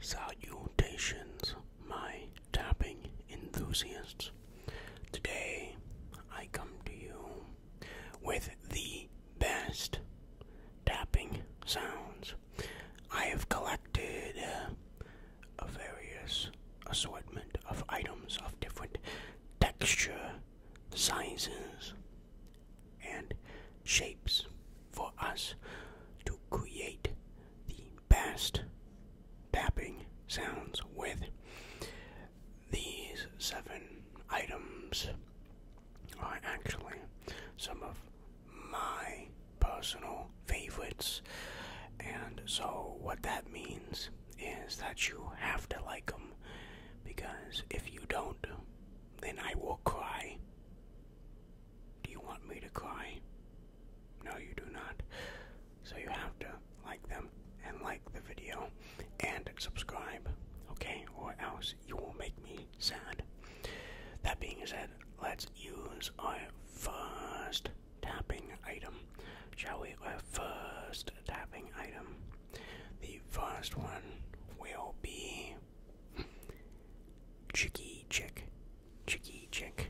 Salutations, my tapping enthusiasts. Today I come to you with the best tapping sounds. I have collected a uh, various assortment of items of different texture, sizes, and shapes for us to create the best tapping sounds with. These seven items are actually some of my personal favorites, and so what that means is that you have to like them because if you don't, then I will cry. Do you want me to cry? No, you do not. So you have to like them and like the video and subscribe, okay? Or else you will make me sad. That being said, let's use our first tapping item, shall we? Our first tapping item. The first one will be me. Chicky chick. Chicky chick.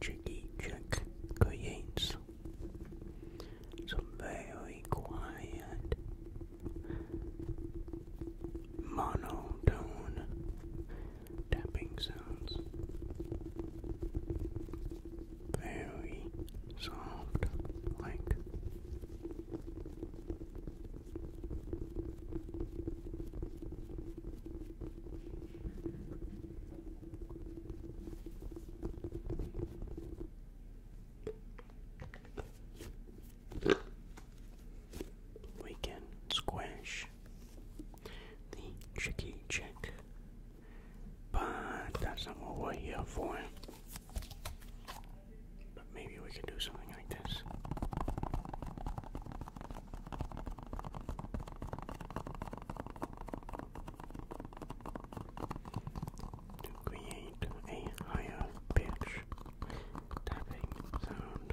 Jiggy chick creates some very quiet monotone tapping sounds. Very soft, like we can squash the tricky chick, but that's not what we're here for. But maybe we could do something like this. To create a higher pitch tapping sound.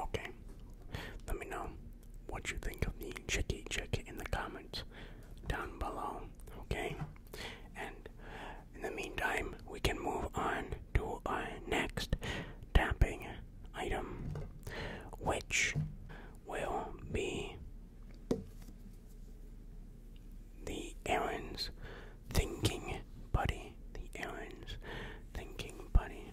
Okay, let me know what you think of me, Chicky Chick in the comments down below. Okay, and in the meantime, we can move on to our next tapping item, which will be the Aaron's Thinking Buddy. The Aaron's Thinking Buddy.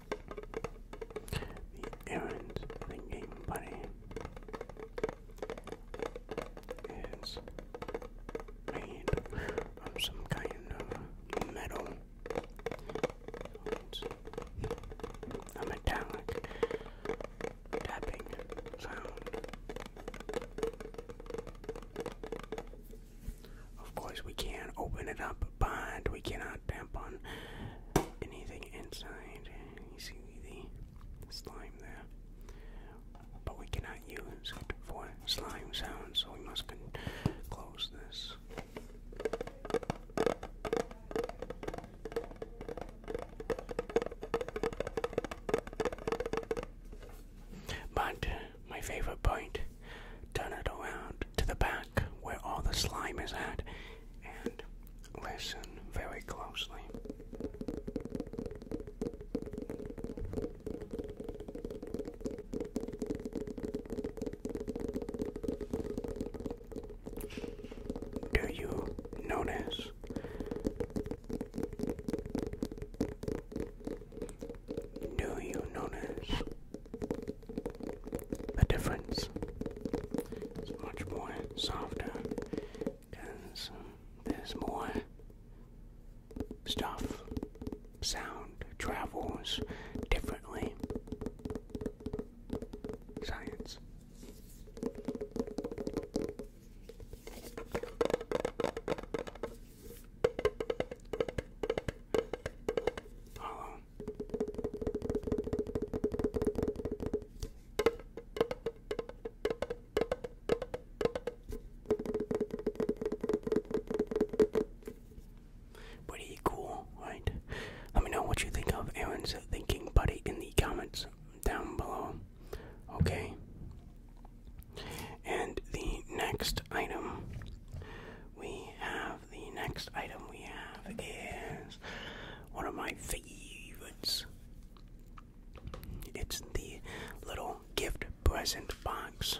The errand of the game buddy is made of some kind of metal. it's a metallic tapping sound. Of course, we can't open it up, but we cannot tap on anything inside. You see the slime there. But we cannot use it for slime sounds, so we must close this. But my favorite point turn it around to the back where all the slime is at, and listen very closely. Do you notice do you notice the difference? It's much more softer because there's more stuff. Sound travels differently. Science. Pretty cool, right? Let me know what you think of Aaron's thinking buddy in the comments down below. Okay. And the next item we have the next item we have is one of my favorites. It's the little gift present box.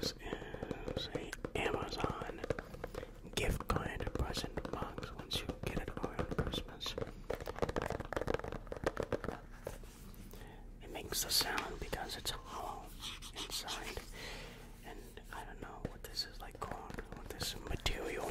This is a Amazon gift card present box once you get it around Christmas. It makes a sound because it's hollow inside and I don't know what this is like Corn. what this material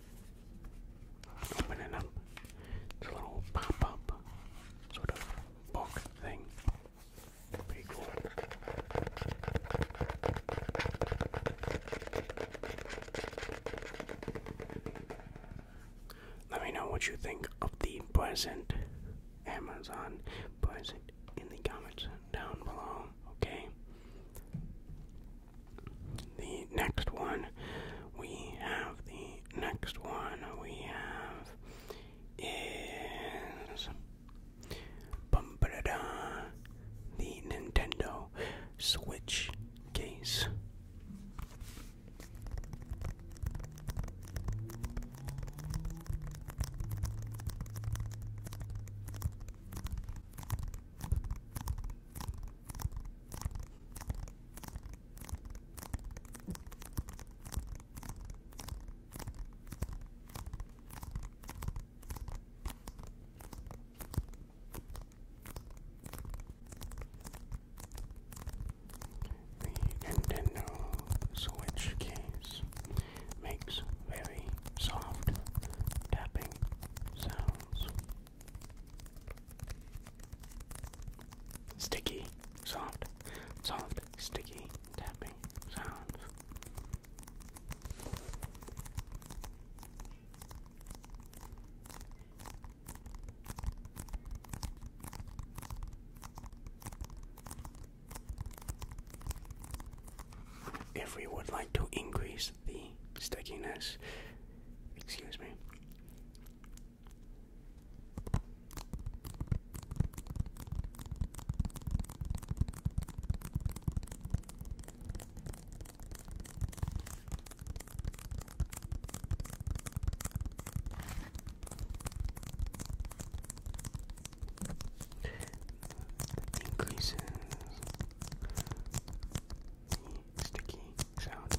Open up. It's a little pop-up sort of book thing. Pretty cool. Let me know what you think of the present Amazon present in the comments down below, okay? the next one we have the next one we have is bum -ba -da -da, the Nintendo Switch case. The Nintendo Switch case makes very soft tapping Sticky, soft, soft, sticky, tapping sounds if we would like to increase the stickiness, excuse me increases the sticky sound.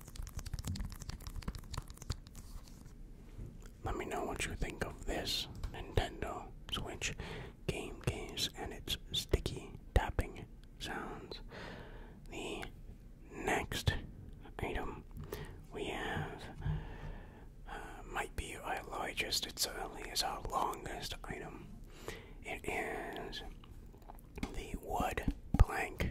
Let me know what you think of this Nintendo Switch game case and its sticky tapping sounds. The next item we have uh, might be our largest, it certainly is our longest item. It is the wood plank.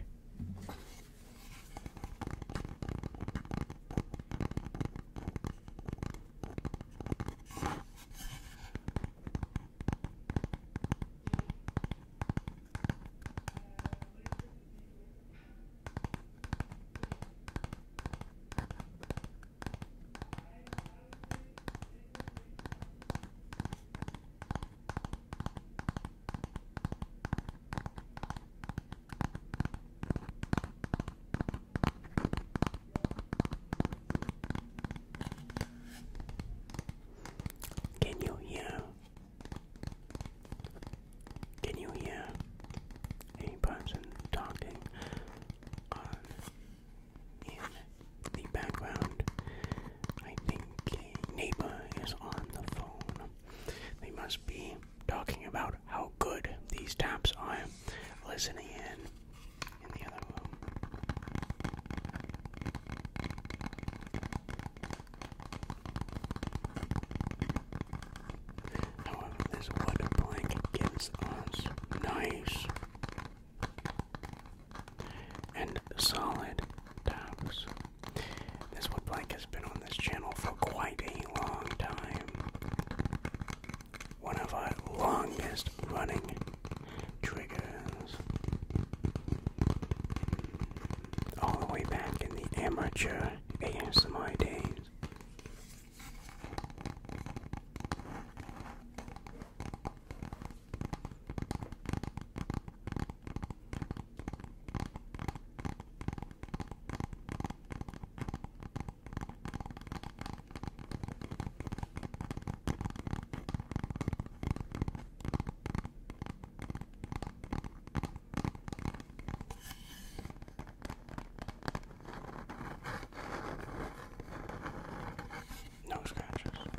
Can you hear? Can you hear a person talking on in the background? I think a is on the phone. They must be talking about how good these taps are. Listening in in the other room. However, this wood plank gives us nice and solid taps. This white blank has been on this channel for quite a long time. One of our longest running triggers. All the way back in the amateur ASMI days. No scratches. Moment.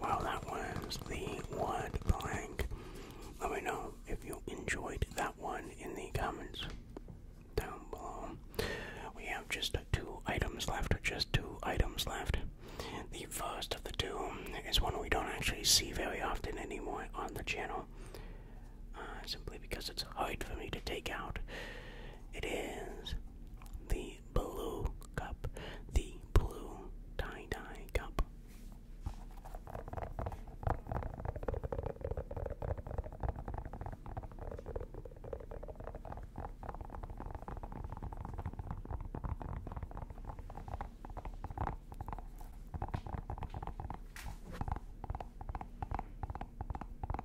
Well, that was the word blank. Let me know if you enjoyed that one in the comments down below. We have just two items left, just two items left. The first of the two is one we don't actually see very often anymore on the channel, uh, simply because it's hard for me to take out. It is the the blue cup, the blue tie dye cup.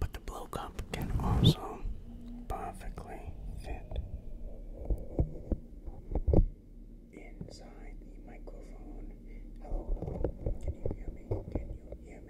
But the blow cup can also perfectly fit inside the microphone. Hello, hello. Can you hear me? Can you hear me?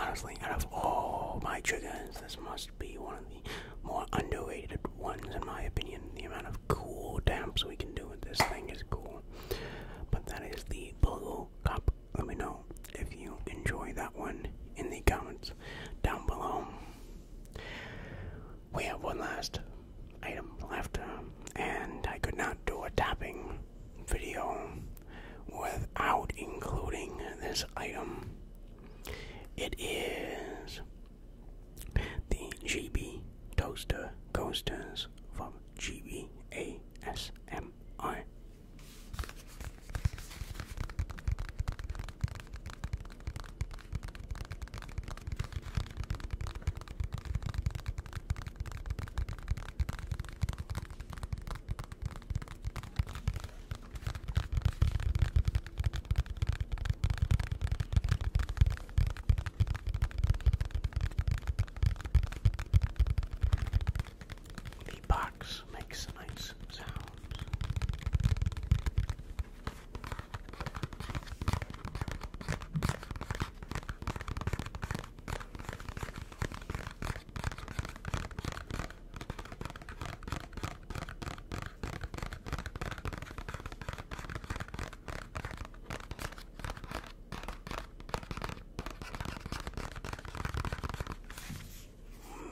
Honestly, out of all my triggers, this must be one of the more underrated ones, in my opinion. The amount of cool damps we can do with this thing is cool. But that is the Blue Cup. Let me know if you enjoy that one in the comments down below. We have one last item left, um, and I could not do a tapping video without including this item. It is the GB Toaster Coasters from GBASMR. The box makes a nice sound.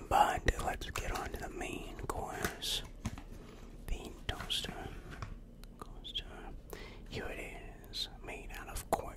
But let's get on to the main course. The toaster here it is, made out of cork.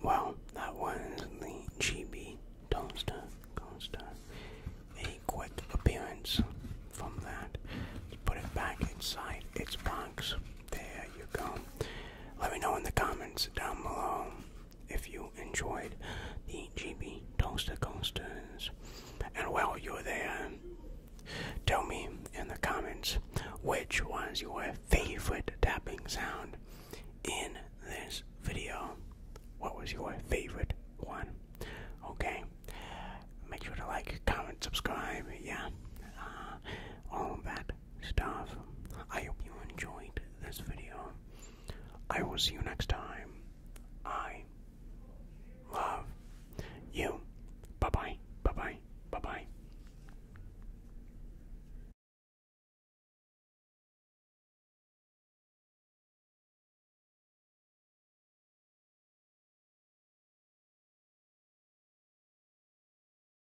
Well, that was the GB Toaster Coaster. A quick appearance from that. put it back inside its box. There you go let me know in the comments down below if you enjoyed the GB Toaster Coasters. And while you're there, tell me in the comments which was your favorite tapping sound in this video. What was your favorite one? Okay. Make sure to like, comment, subscribe, yeah. Uh, all of that stuff. I hope you enjoyed this video. I will see you next time. I love you. Bye bye. Bye bye. Bye bye.